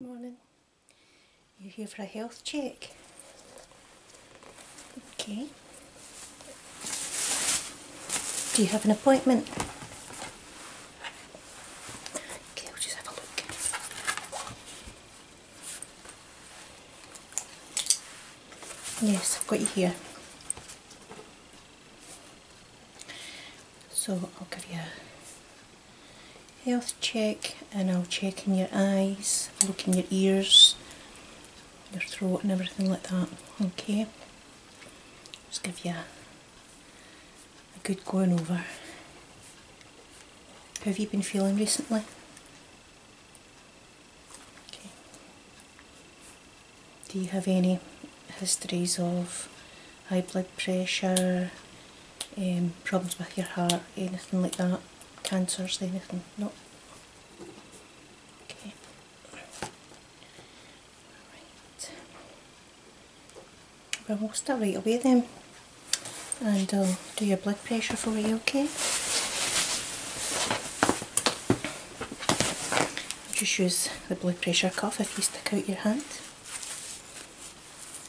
Morning. You are here for a health check? Okay. Do you have an appointment? Okay, I'll just have a look. Yes, I've got you here. So I'll give you health check and I'll check in your eyes, look in your ears, your throat and everything like that. Okay. Just give you a, good going over. have you been feeling recently? Okay. Do you have any histories of high blood pressure, um, problems with your heart, anything like that, cancers, anything, no. Okay. Right. we'll start right away then, and I'll do your blood pressure for you, okay? Just use the blood pressure cuff if you stick out your hand.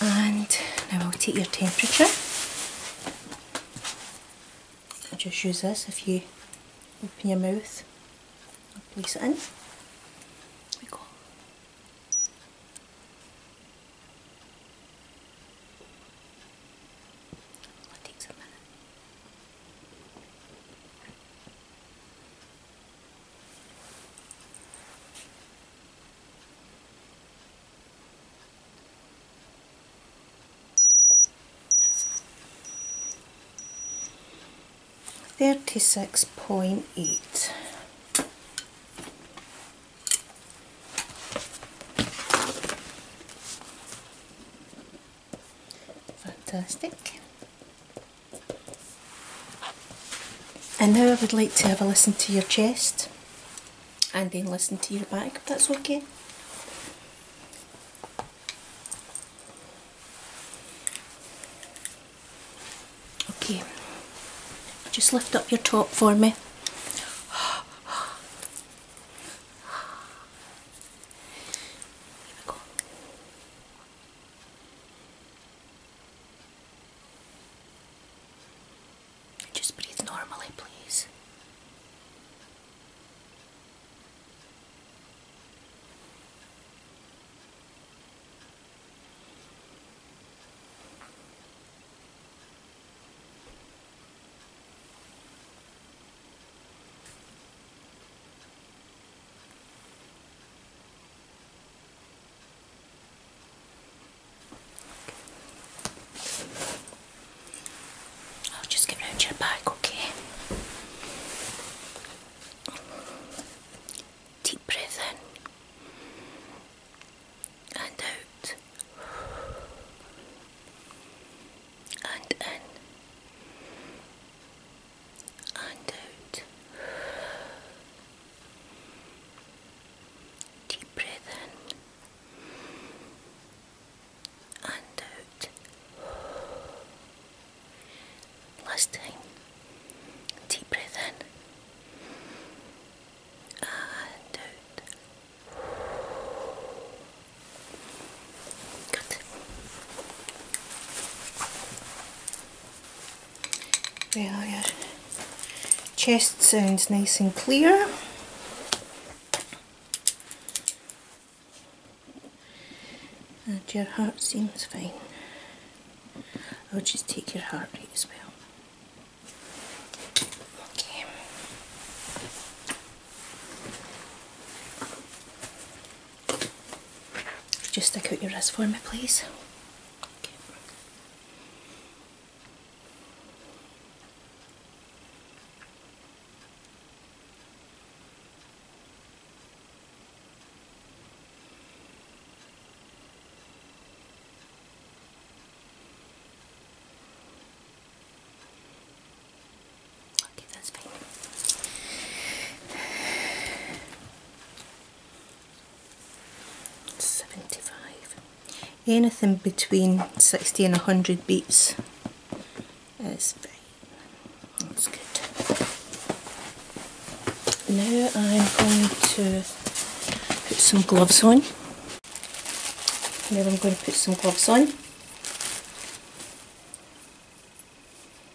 And now I'll take your temperature. just use this if you open your mouth and place it in. There we go. 36.8 Fantastic. And now I would like to have a listen to your chest and then listen to your back if that's okay. Okay, just lift up your top for me. Just breathe normally, please. I'll just get round your back, okay? Deep breath in and out and in and out. Deep breath in and out. Last time. Deep breath in and out your chest sounds nice and clear. And your heart seems fine. I'll just take your heart rate as well. Okay. Just stick out your wrist for me, please. Seventy-five. Anything between sixty and hundred beats is fine. That's good. Now I'm going to put some gloves on. Now I'm going to put some gloves on.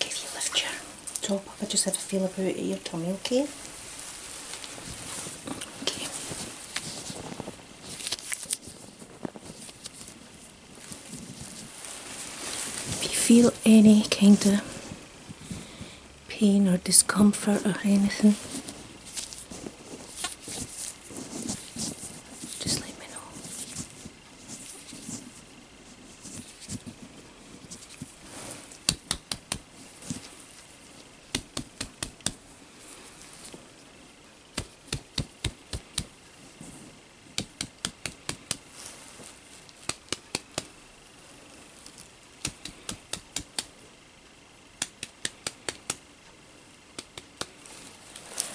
Give you lift your top I just have a feel about your tummy, okay? Okay. If you feel any kind of pain or discomfort or anything, just let me know.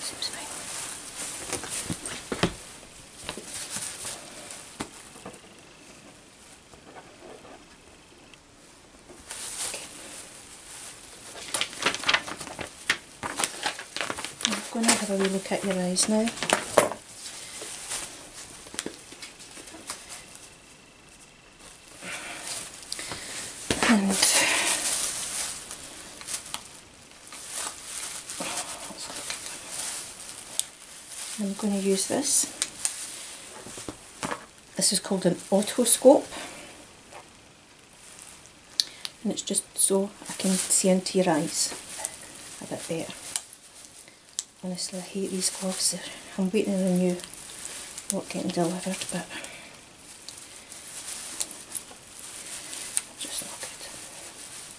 Seems right. I'm going to have a wee look at your eyes now. And I'm going to use this. This is called an otoscope and it's just so I can see into your eyes a bit better. Honestly, I hate these gloves. I'm waiting on you not getting delivered, but just not good.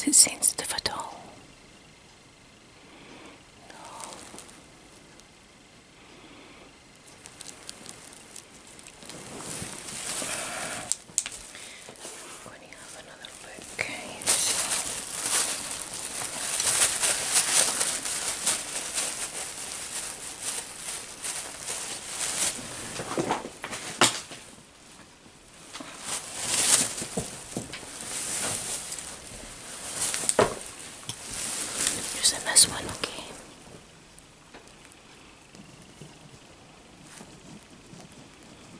Is it sensitive at all? No. I'm going to have another look. Okay, one, Okay.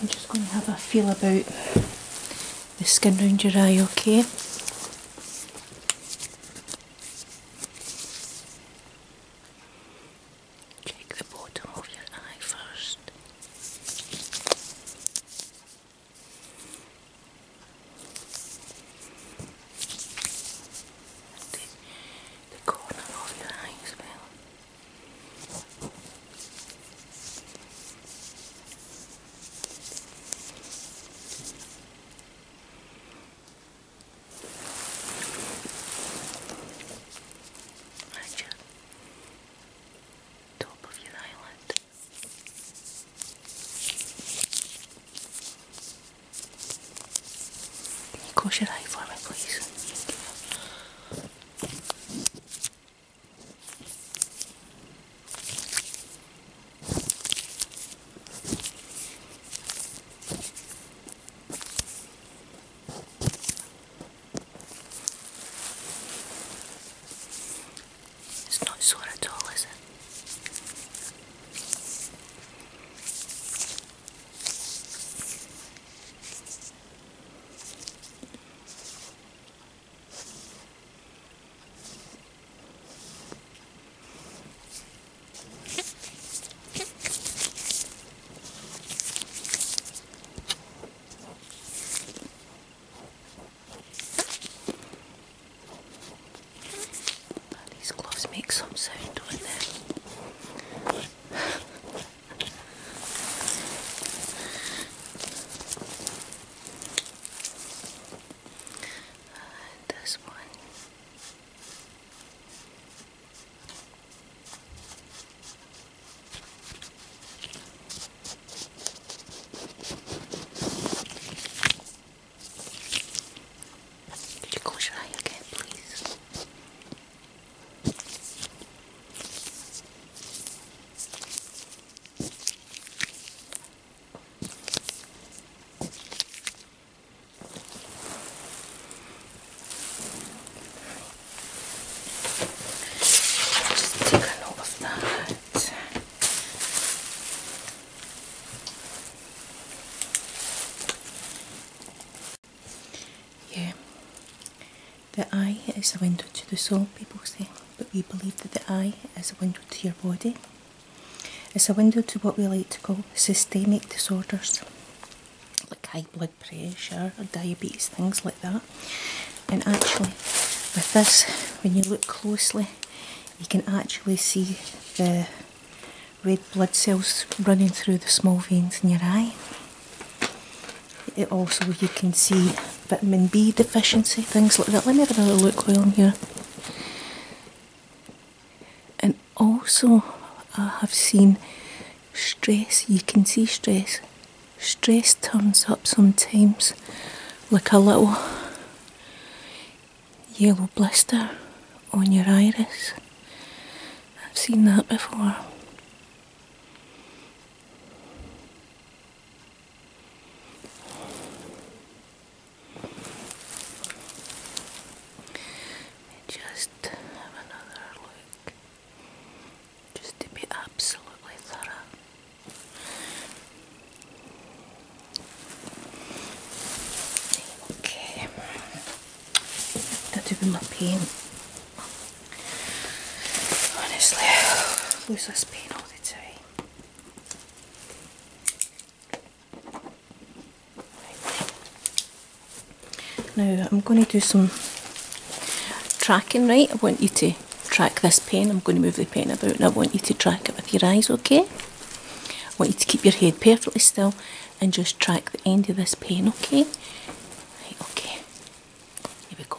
I'm just going to have a feel about the skin around your eye, okay? Check the bottom of your eye first. The, corner of your eye as Right, top of your eyelid. Can you close your eye for me, please? It's not sore at all, is it? these gloves make some sound, don't uh, this one. Could you close your again, please? Just take a note of that. Yeah, the eye is a window to the soul, people say, but we believe that the eye is a window to your body. It's a window to what we like to call systemic disorders, like high blood pressure diabetes, things like that. And actually, with this, when you look closely, you can actually see the red blood cells running through the small veins in your eye. It also, you can see vitamin B deficiency, things like that. Let me have another look while I'm here. And also, I have seen stress, you can see stress. Stress turns up sometimes like a little yellow blister on your iris. I've seen that before. Just have another look. Just to be absolutely thorough. Okay, that would be my pain. Honestly, I lose this pain all the time. Now I'm going to do some tracking right. I want you to track this pen. I'm going to move the pen about and I want you to track it with your eyes, okay? I want you to keep your head perfectly still and just track the end of this pen, okay? Right, okay. Here we go.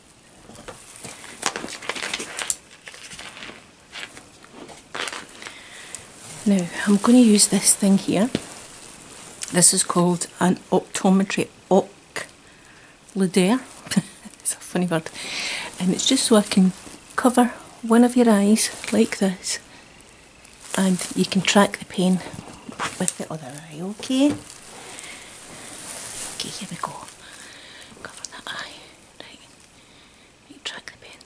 Now, I'm going to use this thing here. This is called an optometry ocluder. it's a funny word. And it's just so I can cover one of your eyes like this and you can track the pain with the other eye, okay? Okay, here we go cover that eye, right, you track the pen.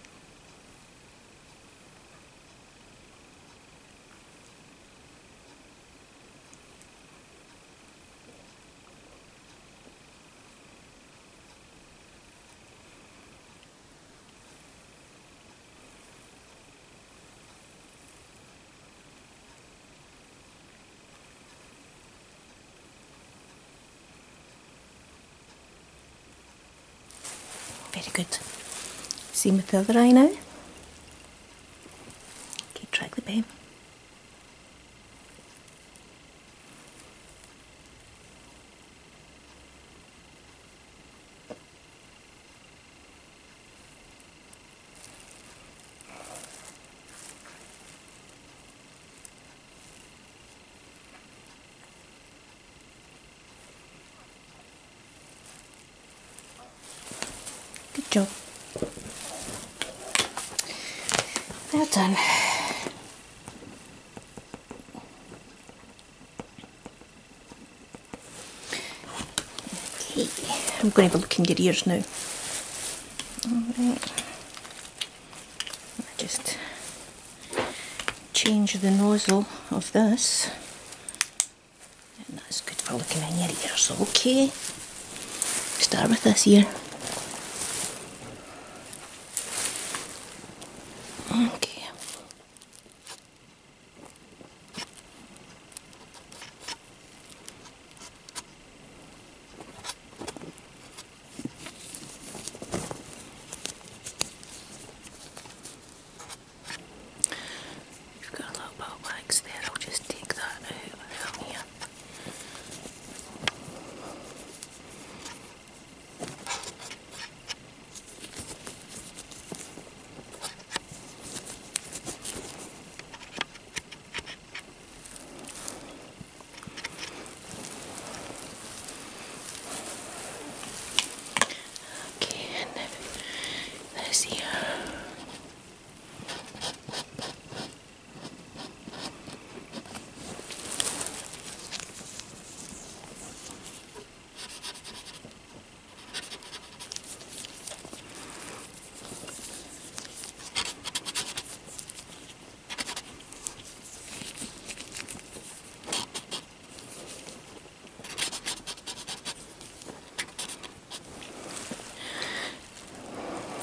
Very good. Same with the other eye now. Keep track the pen. Good job. Well done. Okay, I'm going to have a look in your ears now. Alright. I just change the nozzle of this and that's good for looking in your ears, okay? Start with this here. Okay. You've got a little bit of wax there, I'll just take that out from here. Okay, and then this here.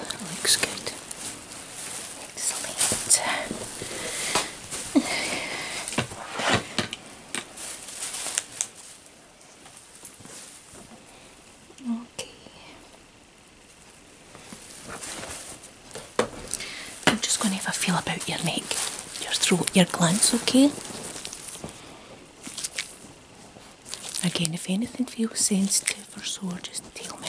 That looks good. Excellent. okay. I'm just going to have a feel about your neck, your throat, your glands, okay? Again, if anything feels sensitive or sore, just tell me.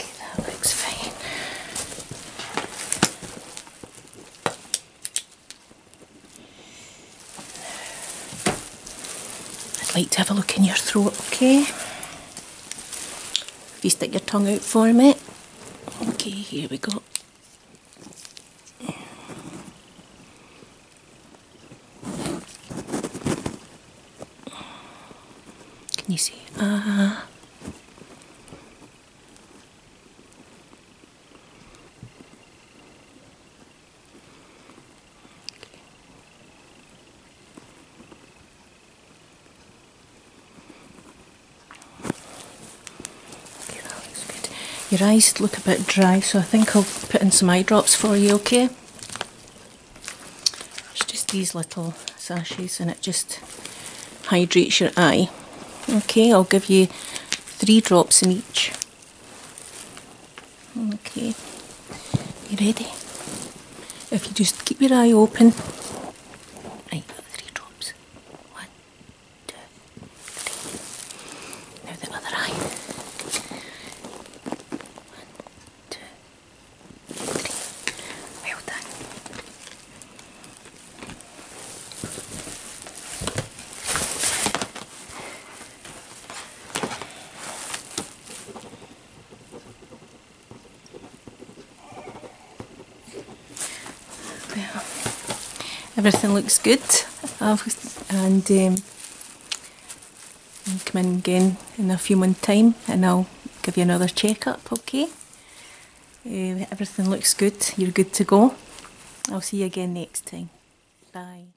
Okay, that looks fine. I'd like to have a look in your throat, okay? If you stick your tongue out for a me. Okay, here we go. Can you see? Ah. Okay, that looks good. Your eyes look a bit dry, so I think I'll put in some eye drops for you, okay? It's just these little sashes and it just hydrates your eye. Okay, I'll give you three drops in each. Okay, you ready? If you just keep your eye open. Right, three drops. One, two, three. Now the other eye. One, two, three. Well done. There. Everything looks good. and um, come in again in a few months' time and I'll give you another checkup, okay? Uh, everything looks good. You're good to go. I'll see you again next time. Bye.